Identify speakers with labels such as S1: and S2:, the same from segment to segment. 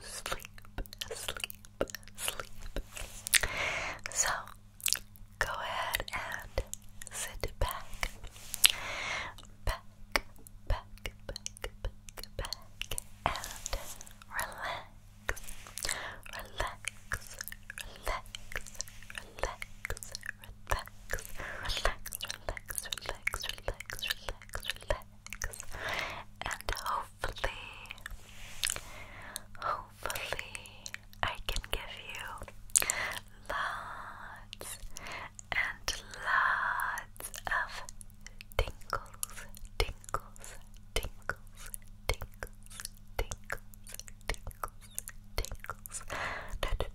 S1: sleep, sleep, sleep, sleep. So, go ahead and sit back, back, back, back, back, back, and relax, relax, relax, relax, relax, relax, relax, relax, relax, relax relax. And hopefully, hopefully, I can give you lots and lots of tingles, tingles, tingles, tingles, tingles, tingles, tingles. tingles.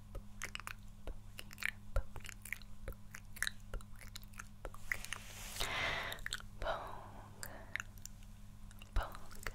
S1: poke, poke, poke,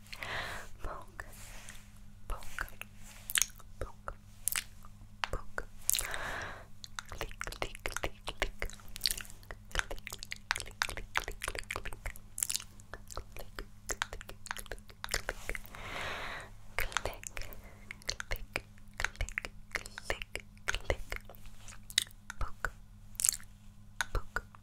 S1: poke, poke, poke, poke, click, click, click, click, click, click, click, click, click, click. Click, click, click, click, click, click, click, click, click, poke, poke,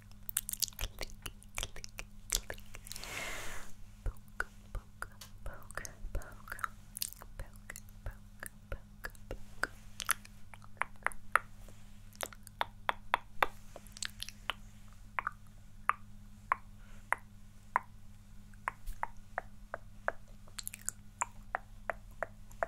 S2: click, click, click. Poke, poke, poke, poke, poke, poke, poke, poke. Poke,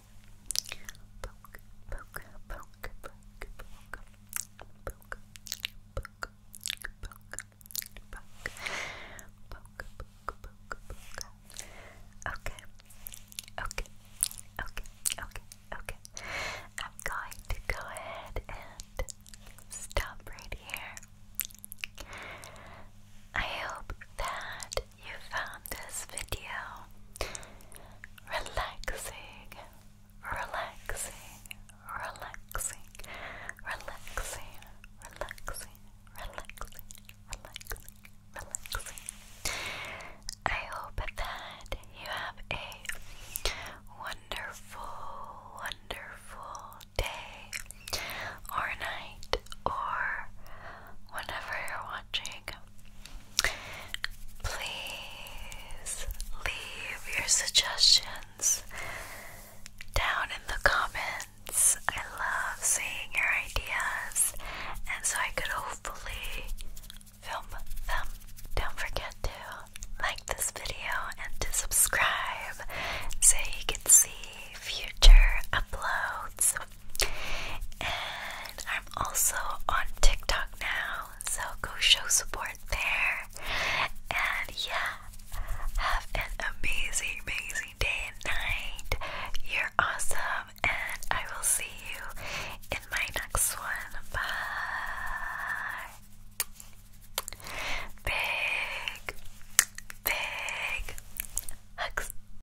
S2: Okay, okay, okay, okay, okay. I'm going to go ahead and stop right here. I hope that you found this video relaxing, relaxing, relaxing, relaxing, relaxing, relaxing, relaxing, relaxing. I hope that you have a wonderful, wonderful day or night or whenever you're watching Please leave your suggestions down in the comments. I love seeing your ideas, and so I could hopefully film them. Don't forget to like this video and to subscribe so you can see future uploads and I'm also on TikTok now, so go show support there. And yeah, have an amazing, amazing day and night. You're awesome, and I will see you in my next one. Bye. Big, big hugs.